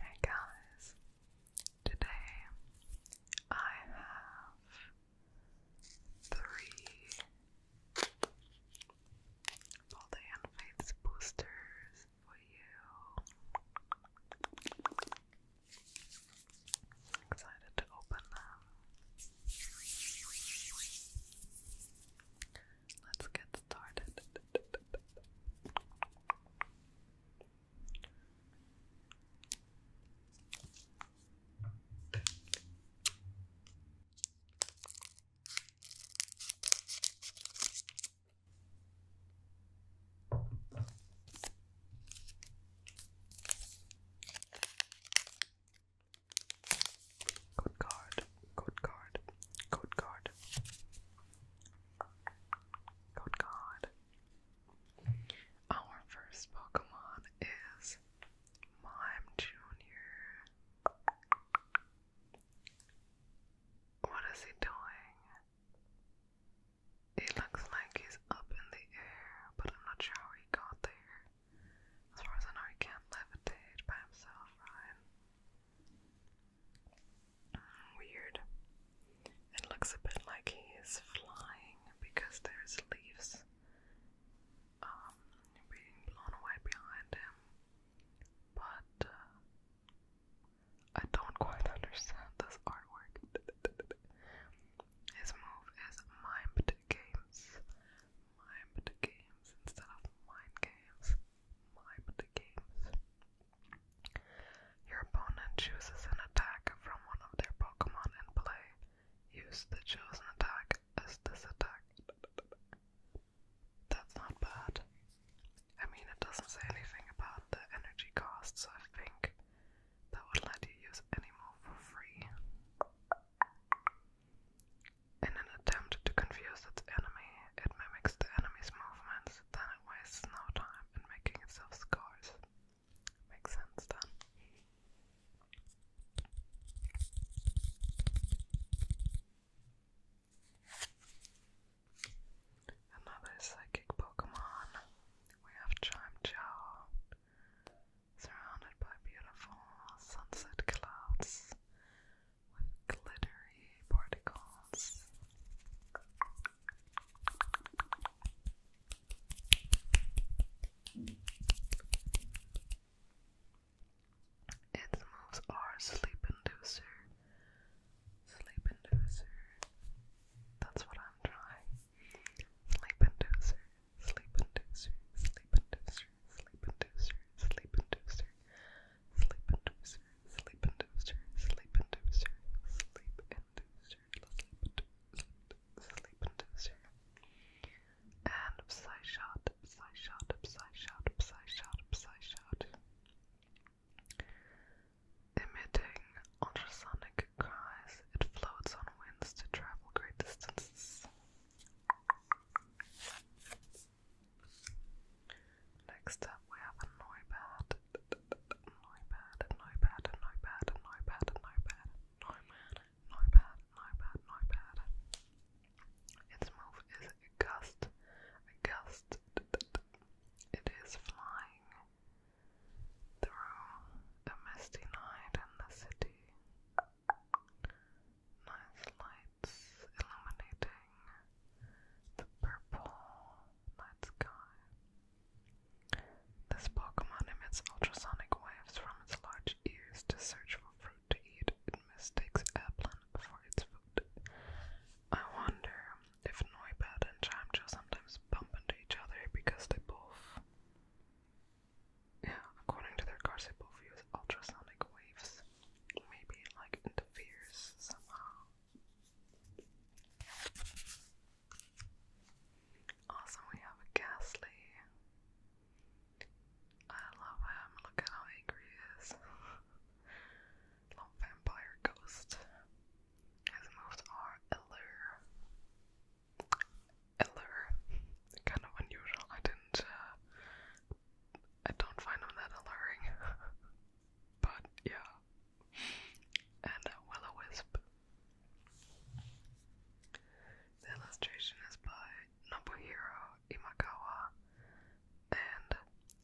Hey guys, today I have three Body and Faiths boosters for you. excited to open them. Let's get Good card. Good card. Good card. Code card. Our first Pokemon is Mime Junior. What is he doing? It looks like he's up in the air, but I'm not sure how he got there. As far as I know, he can't levitate by himself, right? Weird. It looks a bit like he is flying because there's leaves um, being blown away behind him. But uh, I don't quite understand this artwork. His move is mimed games. Mimed games instead of mind games. Your opponent chooses an attack from one of their Pokemon and play. Use the chosen attack as this attack. That's not bad. I mean, it doesn't say anything about the energy costs. I think that would let you use it anymore for free. In an attempt to confuse its enemy, it mimics the enemy's movements, then it wastes no time in making itself scarce. Makes sense then. Another psychic Pokemon. We have Chimechow, surrounded by beautiful sunset clouds glittery particles. Its are sleep inducer, sleep inducer. That's what I'm trying. Sleep inducer, sleep inducer, sleep inducer, sleep inducer, sleep inducer. Sleep inducer, sleep inducer, sleep inducer, sleep inducer, sleep sleep inducer. And Psy shot, Psy shot, Psy shot, Psy shot, Psy shot. Emitting ultrasonic cries, it floats on winds to travel great distances. Next up, we have a Noibad. Noibad, Noibad, Noibad, Noibad, Noibad, Noibad, Noibad, Noibad, Noibad. Its move is a gust, a gust. It is flying through a misty night in the city. Nice light it's illuminating the purple night sky. This Pokemon emits ultrasonic waves from its large ears to search for fruit to eat. It mistakes Applin for its food. I wonder if Noibat and Chimecho sometimes bump into each other because they both. Yeah, according to their cars, they ultrasonic waves maybe like interferes somehow. Also, we have a Ghastly. I love him. Look at how angry he is. Little vampire ghost. His moves are Eller. Eller. kind of unusual. I didn't uh, I don't find them that alluring. but yeah. And a willow wisp. The illustration is by Nobuhiro Imagawa, and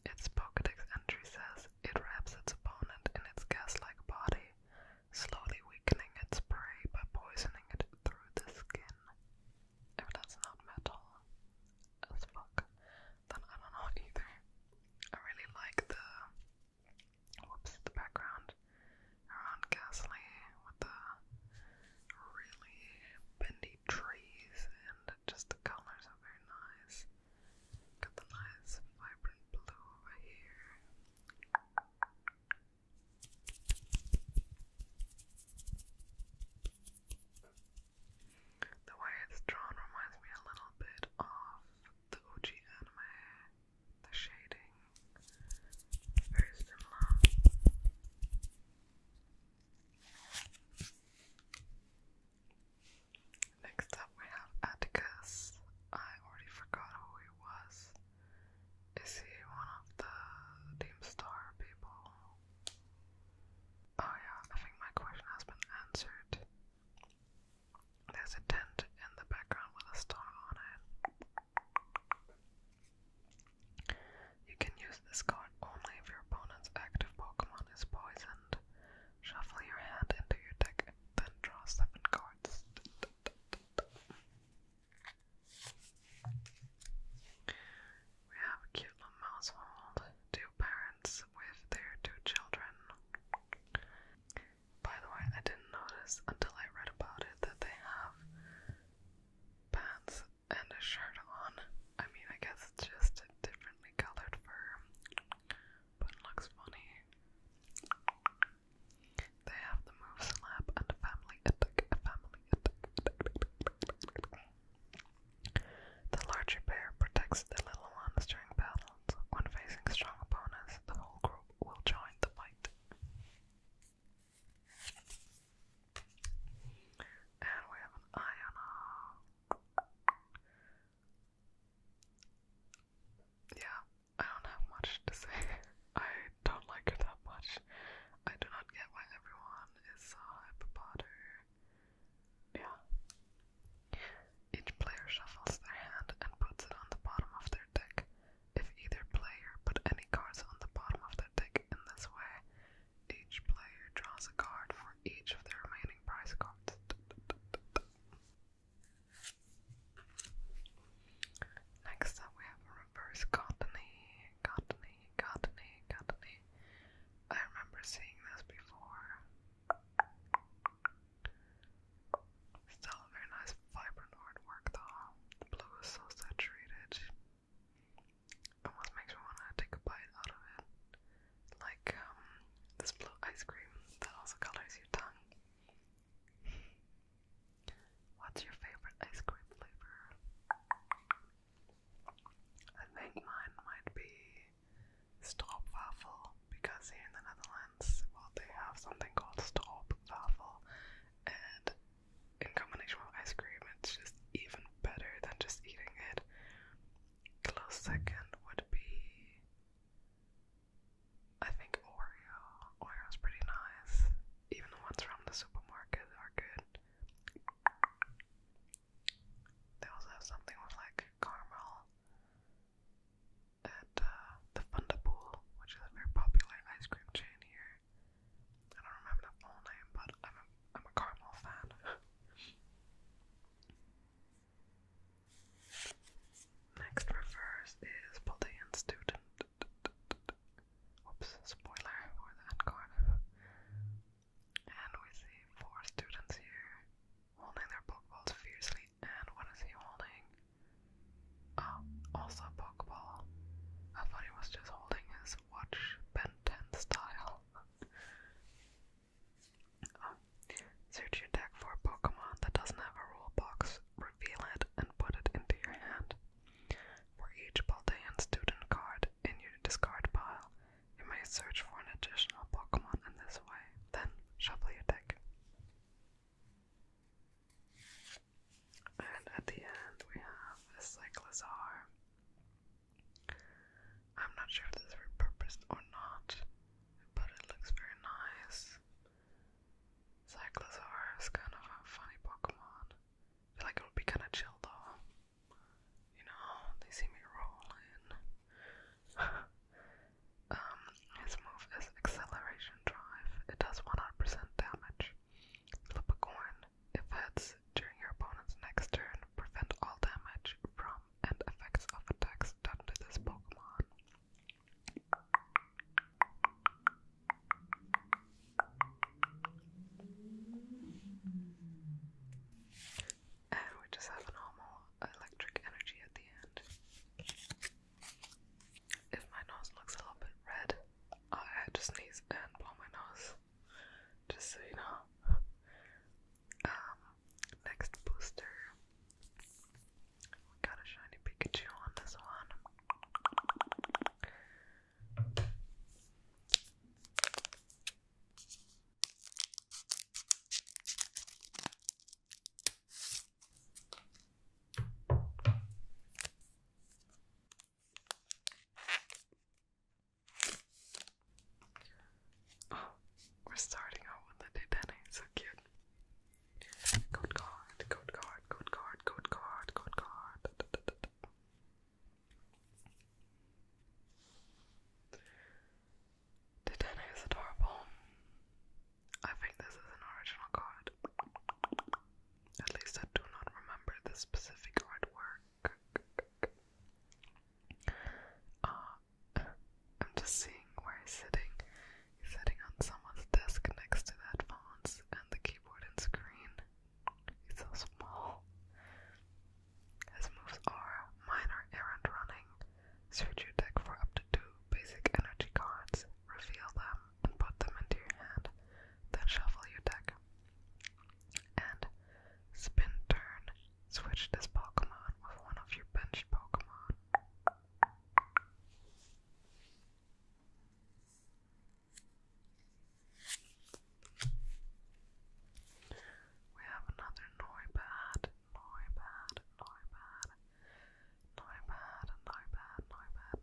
its Pokedex entry says it wraps its opponent in its gas like body, slowly weakening its prey by poisoning it through the skin. If that's not metal as fuck, then I don't know either. I really like the whoops the background around Gasly with the really bendy trees and just the colors are very nice. Got the nice vibrant blue over here. The way it's drawn reminds me a little bit of the Uchi The shading is very similar. Next up we have Atticus. I already forgot who he was. Is he one of the Team Star people? Oh yeah, I think my question has been answered. There's a tent in the background with a star on it. You can use this card only if your opponent's active Pokemon is poisoned. Shuffle your hand into your deck, then draw seven cards. We have a cute little household, two parents with their two children. By the way, I didn't notice until I read about it that they have pants and a shirt on. I mean, I guess just differently colored fur, but it looks funny. They have the move slap and family attack, family attack. The larger bear protects the little ones during battles. When facing strong opponents, the whole group will join the fight. And we have an Iona. Yeah, I don't have much to say. I don't like her that much. I do not get why everyone is so uh, hype about Yeah. Each player shuffles their hand and puts it on the bottom of their deck. If either player put any cards on the bottom of their deck in this way, each player draws a card for each of the remaining prize cards. Next up, we have a reverse cottony cottony, cottony, cottony. I remember seeing this before. Still very nice vibrant artwork though. blue is so saturated. Almost makes me want to take a bite out of it. Like um, this blue ice cream that also colors your tongue. What's your favorite ice cream flavor? I think mine might be stroopwafel because here in the Netherlands, well, they have something called stroopwafel, and in combination with ice cream, it's just even better than just eating it. Close second would be, I think, Oreo. Oreo's pretty nice. Even the ones from the supermarket are good. They also have something with like caramel at uh, the Thunderpool, which is a very popular ice cream chain here. I don't remember the full name, but I'm a, I'm a caramel fan. Next reverse is Bodleian Student. Oops, spoiler for that Cardiff. And we see four students here holding their Pokeballs fiercely. And what is he holding? Uh, also a Pokeball. I thought he was just holding his watch Ben style. Oh, search your deck for a Pokemon that doesn't have a rule box, reveal it, and put it into your hand. For each Baldean student card, in your discard pile. You may search for an additional Pokemon in this way, then shuffle your deck. And at the end, we have a I'm not sure if this is repurposed or not, but it looks very nice. Cyclozar is kind of a funny Pokemon. feel like it would be kind of chill though. You know, they see me rolling. um, his move is acceleration drive. It does 100% damage. Flip a coin. If hits during your opponent's next turn, prevent all damage from and effects of attacks done to this Pokemon. And we just have normal electric energy at the end. If my nose looks a little bit red, I had to sneeze and blow my nose. Just so you know. Um, next booster. We got a shiny Pikachu on this one. Oh, we're starting out with the Denny, so cute. Code card, code card, code card, code card, code card. Titanic is adorable. I think this is an original card. At least I do not remember the specific artwork. Uh, I'm just seeing where he's sitting. He's sitting on someone's desk next to that headphones and the keyboard and screen. His moves are minor errand running. Search your deck for up to two basic energy cards, reveal them, and put them into your hand, then shuffle your deck. And spin turn, switch this Pokemon with one of your benched Pokemon. We have another Noibad, Noibad, Noibad, Noibad, Noibad, Noibad,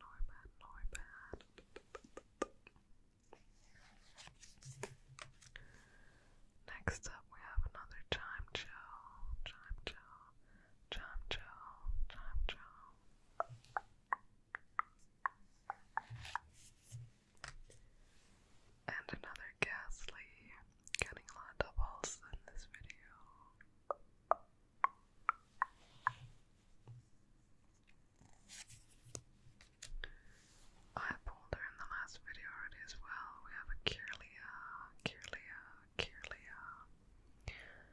Noibad, Noibad, Noibad. Next up, we have another Chime Joe, Chime Joe, Chime Joe, Chime Joe. And another ghastly, getting a lot of also in this video. I pulled her in the last video already as well. We have a Kirlia, Kirlia, Kirlia.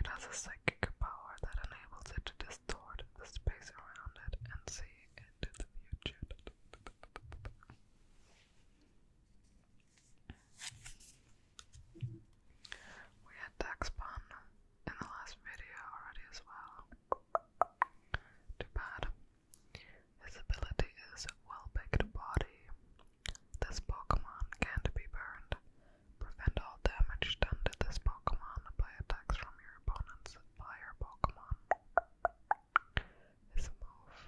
It has a psychic power that enables it to distort the space around it and see into the future. We had Taxpun in the last video already as well. Too bad. His ability is Well Baked Body. This Pokemon can't be burned, Prevent all damage done to this Pokemon by attacks from your opponent's fire Pokemon. This move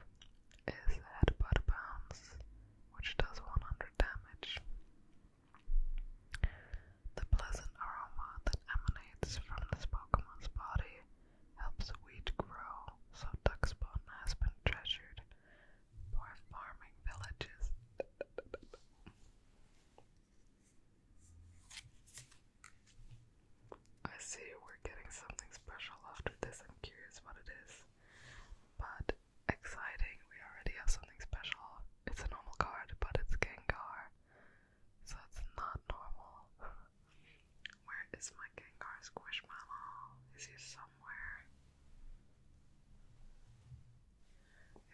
is Headbutt Bounce, which does 100 damage. The pleasant aroma that emanates from this Pokemon's body helps wheat grow, so Duxbone has been treasured by farming villages I see we're getting something special after this. I'm curious what it is. But exciting, we already have something special. It's a normal card, but it's Gengar. So it's not normal. Where is my Gengar Squishmallow? Is he somewhere?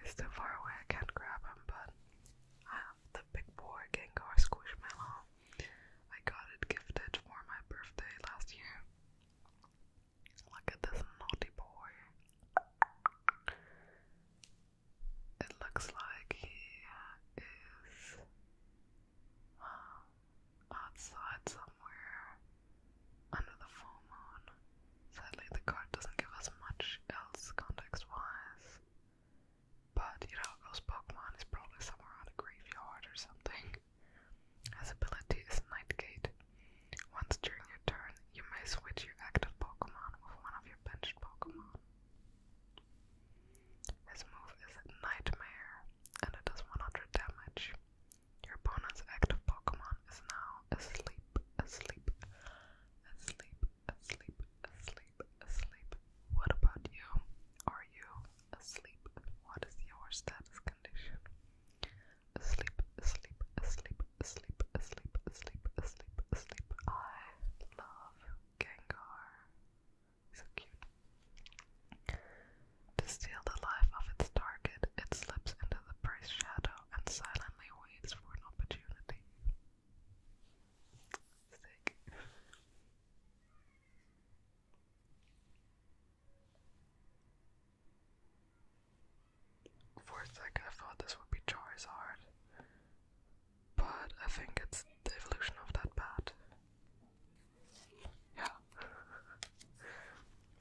It's too far away, I can't grab him, but I have the big boy Gengar Squishmallow. I got it gifted for my birthday last year. Look at this naughty boy. It looks like he is uh, outside somewhere under the full moon. Sadly, the card doesn't give us much else context-wise. But, you know, those Pokemon is probably somewhere on a graveyard or something. His ability is Night Nightgate. Once during your turn, you may switch your active Pokemon with one of your benched Pokemon. His move is Nightmare, and it does 100 damage. Your opponent's active Pokemon is now asleep, asleep, asleep, asleep, asleep, asleep. What about you? Are you asleep? What is your status condition? Asleep, asleep, asleep, asleep, asleep, asleep, asleep, asleep. I love Gengar. So cute. To steal the life of its target, it slips into the prey's shadow and silently waits for an opportunity. For a second, I thought this would be Charizard, but I think it's the evolution of that bat. Yeah.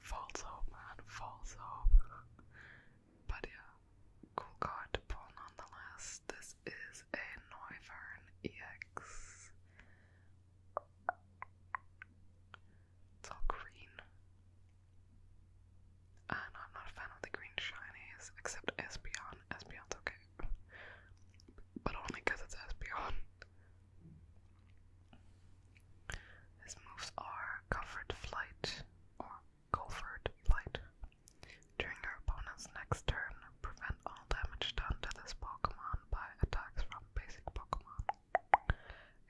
False hope, man. False hope. but yeah, cool card pull nonetheless. This is a Noivern EX. It's all green. And ah, I'm not a fan of the green shinies, except Espeon. Espeon's okay. But only because it's Espeon. His moves are covered flight or covered flight. During your opponent's next turn, prevent all damage done to this Pokemon by attacks from basic Pokemon.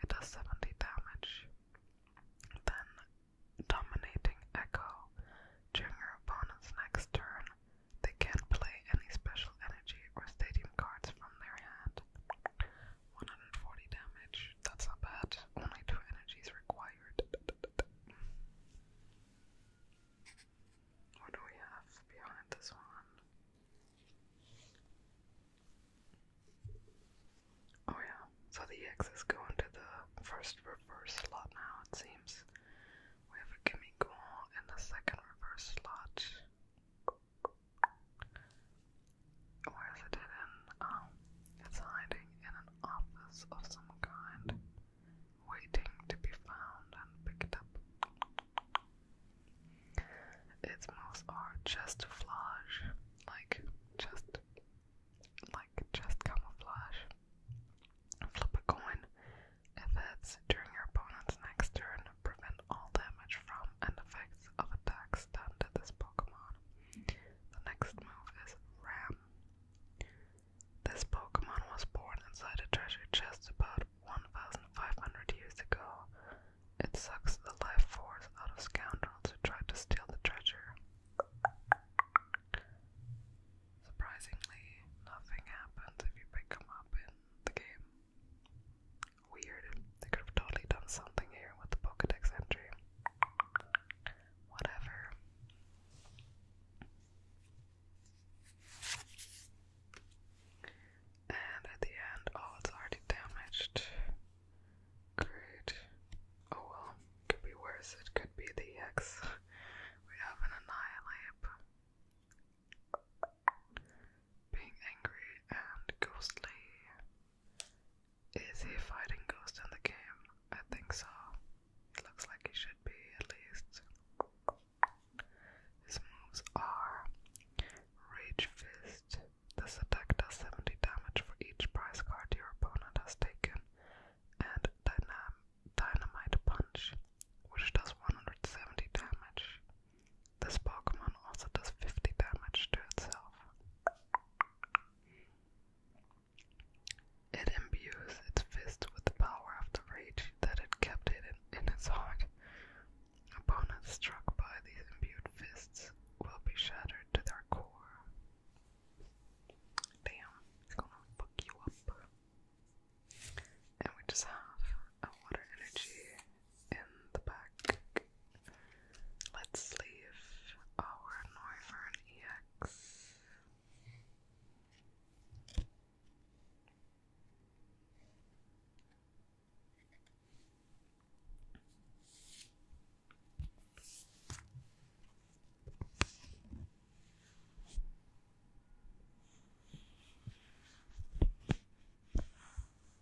It does 70 damage. Then, dominating Echo. During your opponent's next turn, they can't play any special energy or stadium cards from their hand. 140 damage. That's not bad. Only two energies required. What do we have behind this one? Oh yeah, so the EXs go into the first reverse slot now, it seems. We have a give in the second reverse slot. Where is it hidden? Oh, it's hiding in an office of some kind, waiting to be found and picked up. Its moves are chestiflage, like just, like just camouflage. Flip a coin. If it's during your opponent's next turn, prevent all damage from and effects his attacks done to this Pokemon. The next move is Ram. This Pokemon was born inside a treasure chest about 1,500 years ago. It sucks the life force out of scoundrels who try to steal the treasure. Surprisingly, nothing happens if you pick them up in the game. Weird. They could have totally done something here with the Pokedex entry. Whatever. And at the end, oh, it's already damaged. Great. Oh well, could be worse. It could be the EX. We have an Annihilate. Being angry and ghostly. Is he fighting ghost in the game? I think so. It looks like he should be at least. His moves are Rage Fist. This attack does 70 damage for each prize card your opponent has taken, and Dynamite Punch, which does 170 damage. This Pokemon also does 50 damage to itself. It imbues its fist with the power of the rage that it kept in its heart. Opponents struck by these imbued fists will be shattered to their core. Damn, it's gonna fuck you up. And we just have a water energy in the back. Let's leave our Noivern EX.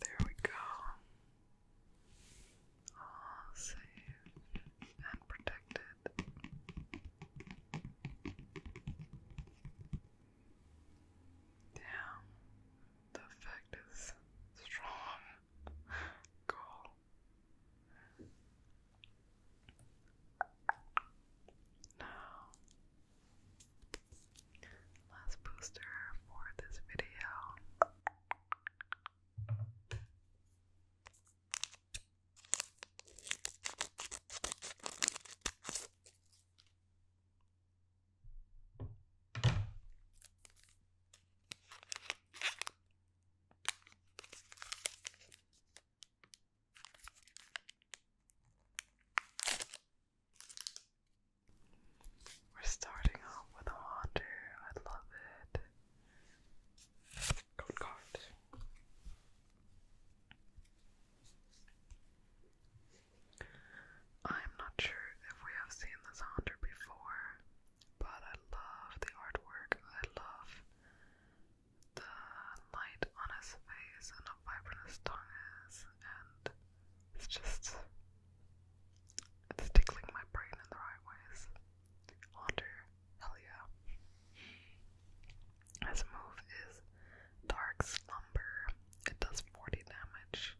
There we go. All safe and protected. Damn, the effect is strong. cool. Now, last booster for this video. We're starting off with a wander. I love it. Good card. I'm not sure if we have seen this haunter before, but I love the artwork. I love the light on his face and how vibrant his tongue and it's just it's tickling my brain in the right ways. Haunter, hell yeah. His move is Dark Slumber. It does 40 damage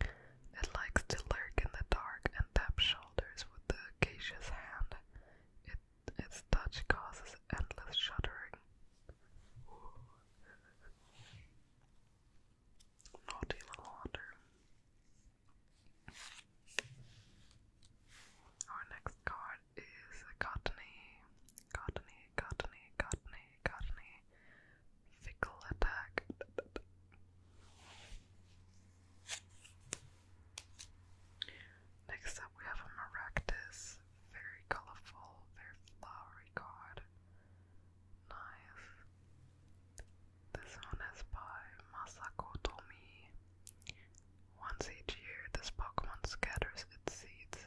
It likes to lurk in the dark and tap shoulders with the acacia's hand. its touch causes endless shuddering. Naughty little water. Our next card is a cottony Cottony, cottony, cottony, cottony. Fickle attack. Next up, we have a Maractus. Very colorful, very flowery card. Nice. This one is by Masako Tomi. Once each year, this Pokemon scatters its seeds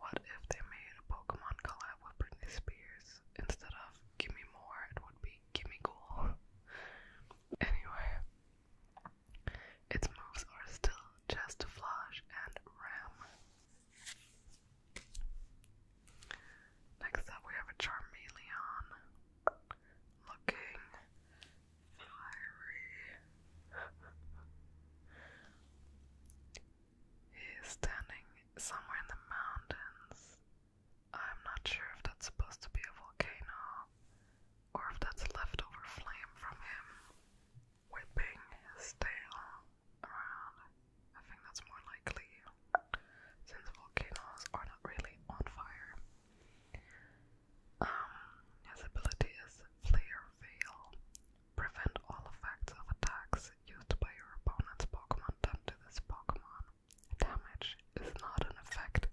What if they made a Pokemon collab with Britney Spears? Instead of Gimme More, it would be Gimme Cool. anyway, its moves are still Chest and Ram. Next up, we have a Charmeleon looking fiery. He is standing somewhere in the mountains. I'm not sure if that's supposed to be a volcano or if that's leftover flame from him whipping his tail around. I think that's more likely since volcanoes are not really on fire. Um, his ability is Flare Veil. Prevent all effects of attacks used by your opponent's Pokemon done to this Pokemon. Damage is not an effect.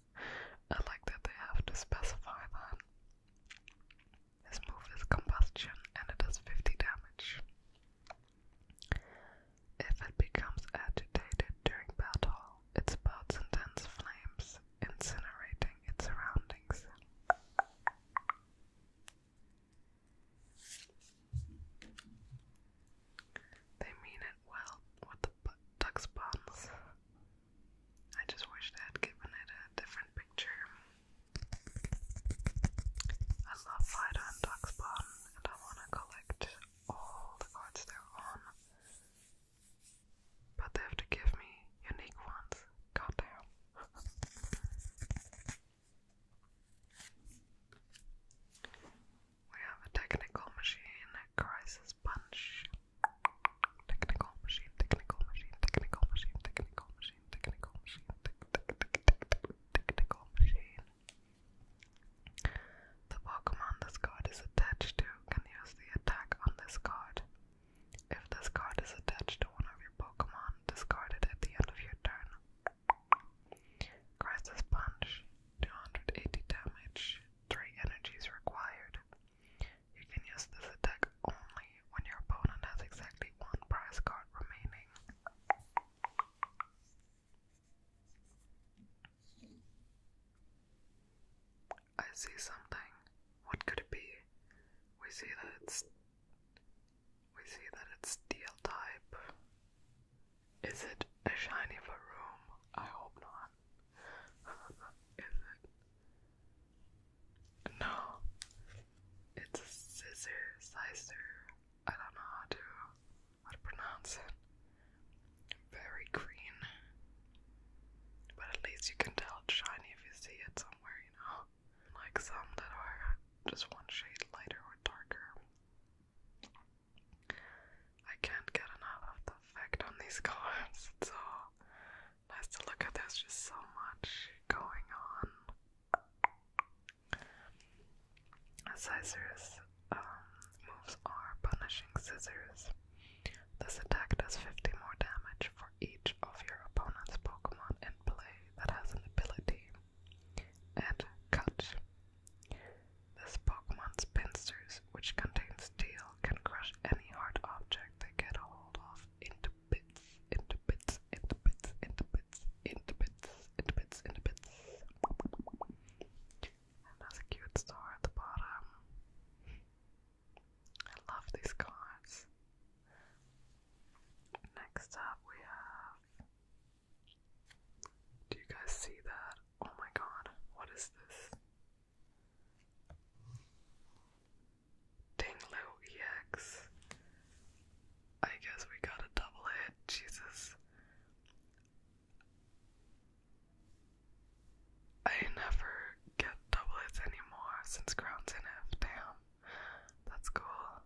I like that they have to specify that. This move is Combustion and it does 50 damage. If it becomes agitated during battle, it spouts intense flames, incinerating its surroundings. They mean it well with the duck buns. I just wish they had given it a different picture. I love Fido Duck's Bun, and I want to collect all the cards they on. But they have to give me unique ones. Goddamn. We have a technical machine crisis punch. Technical machine, technical machine, technical machine, technical machine, technical machine, technical machine. The Pokemon this card is attached to can use the attack on this card. If this card is attached to one your Pokemon discarded at the end of your turn. Crisis Punch, 280 damage, 3 energies required. You can use this attack only when your opponent has exactly one prize card remaining. I see something. What could it be? We see that it's we see that it's steel type. Is it a shiny for room? I hope not. Is it? No. It's a scissor, sizer. I don't know how to how to pronounce it. Very green. But at least you can tell it's shiny if you see it somewhere, you know like some that are just one shade lighter or darker. I can't get enough of the effect on these colors. It's so nice to look at. There's just so much going on. Scissors um, moves are punishing scissors. This attack does 50 more damage for for each of your opponent's Pokemon in play that has an ability. And Cut. This Pokemon spinsters, which contains steel, can crush any hard object they get a hold of into bits, into bits, into bits, into bits, into bits, into bits, into bits. And there's a cute star at the bottom. I love these cards. Next up we have. Do you guys see that? Oh my god, what is this? Dinglo EX. I guess we got a double hit, Jesus. I never get double anymore since Crown's in F, damn. That's cool.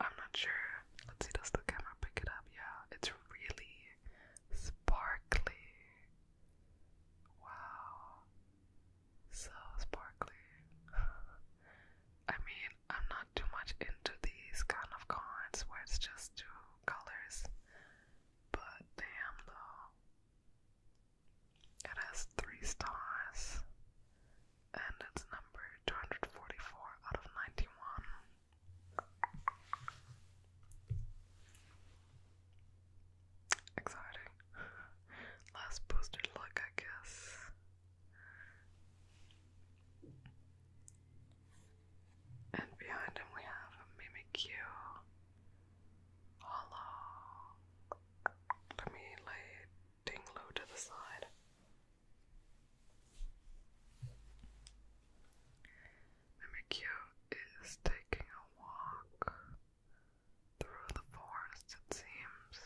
I'm not sure. Let's see, does the camera pick it up? Yeah, it's really sparkly. Wow. So sparkly. I mean, I'm not too much into these kind of cards where it's just two colors. But damn though. It has three stars and it's number 244 out of 91. Exciting. Last booster luck, I guess. And behind him we have a Mimikyu, Hello. Let me lay Dinglo to the side. Mimikyu is taking a walk through the forest, it seems.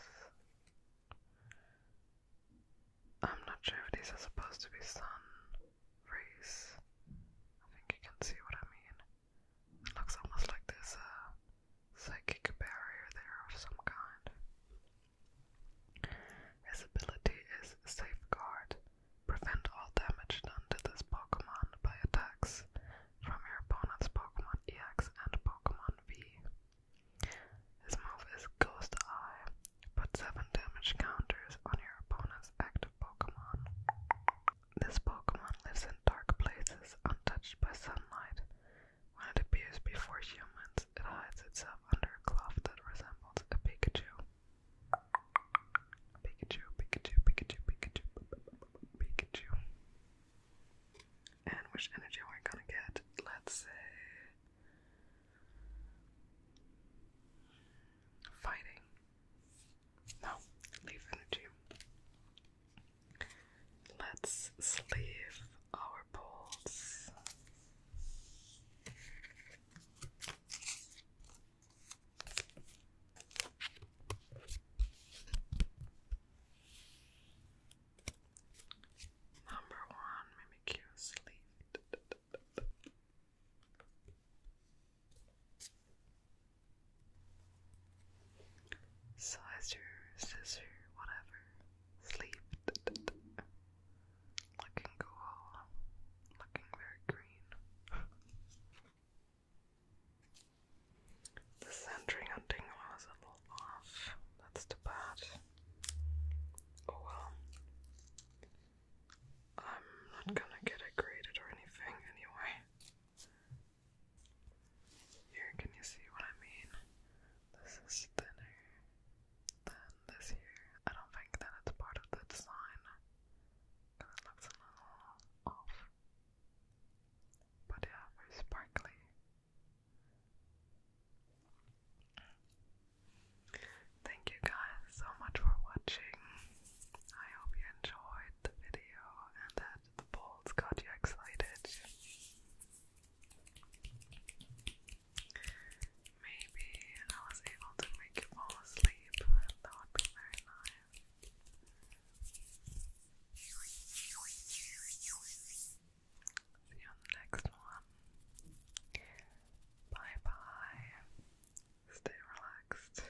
I'm not sure if these are supposed to be sun rays. I think you can see what I mean. It looks almost like there's a psychic barrier there of some kind. His ability is Safeguard. Prevent all damage done to this Pokemon by attacks from your opponent's Pokemon EX and Pokemon V. His move is Ghost Eye. Put 7 damage counters on your opponent's active Pokemon. This Pokemon lives in dark places, untouched by sunlight. When it appears before humans, it hides itself under a cloth that resembles a Pikachu. Pikachu, Pikachu, Pikachu, Pikachu, Pikachu. And which energy we're we are going to get? Let's say fighting. No, leaf energy. Let's sleep our balls. Number one, mimicure sleeve. Slicer, scissor, whatever. Sleep. Looking cool. Looking very green. the centering on Dingwall is a little off. That's too bad. Oh well. I'm not gonna get graded or anything anyway. Here, can you see what I mean? This is thinner than this here. I don't think that it's part of the design, it looks a little off. But yeah, very sparkly. Thank you guys so much for watching. I hope you enjoyed the video and uh, the balls got you excited. Maybe I was able to make you fall asleep. That would be very nice. See you on the next one. Bye bye. Stay relaxed.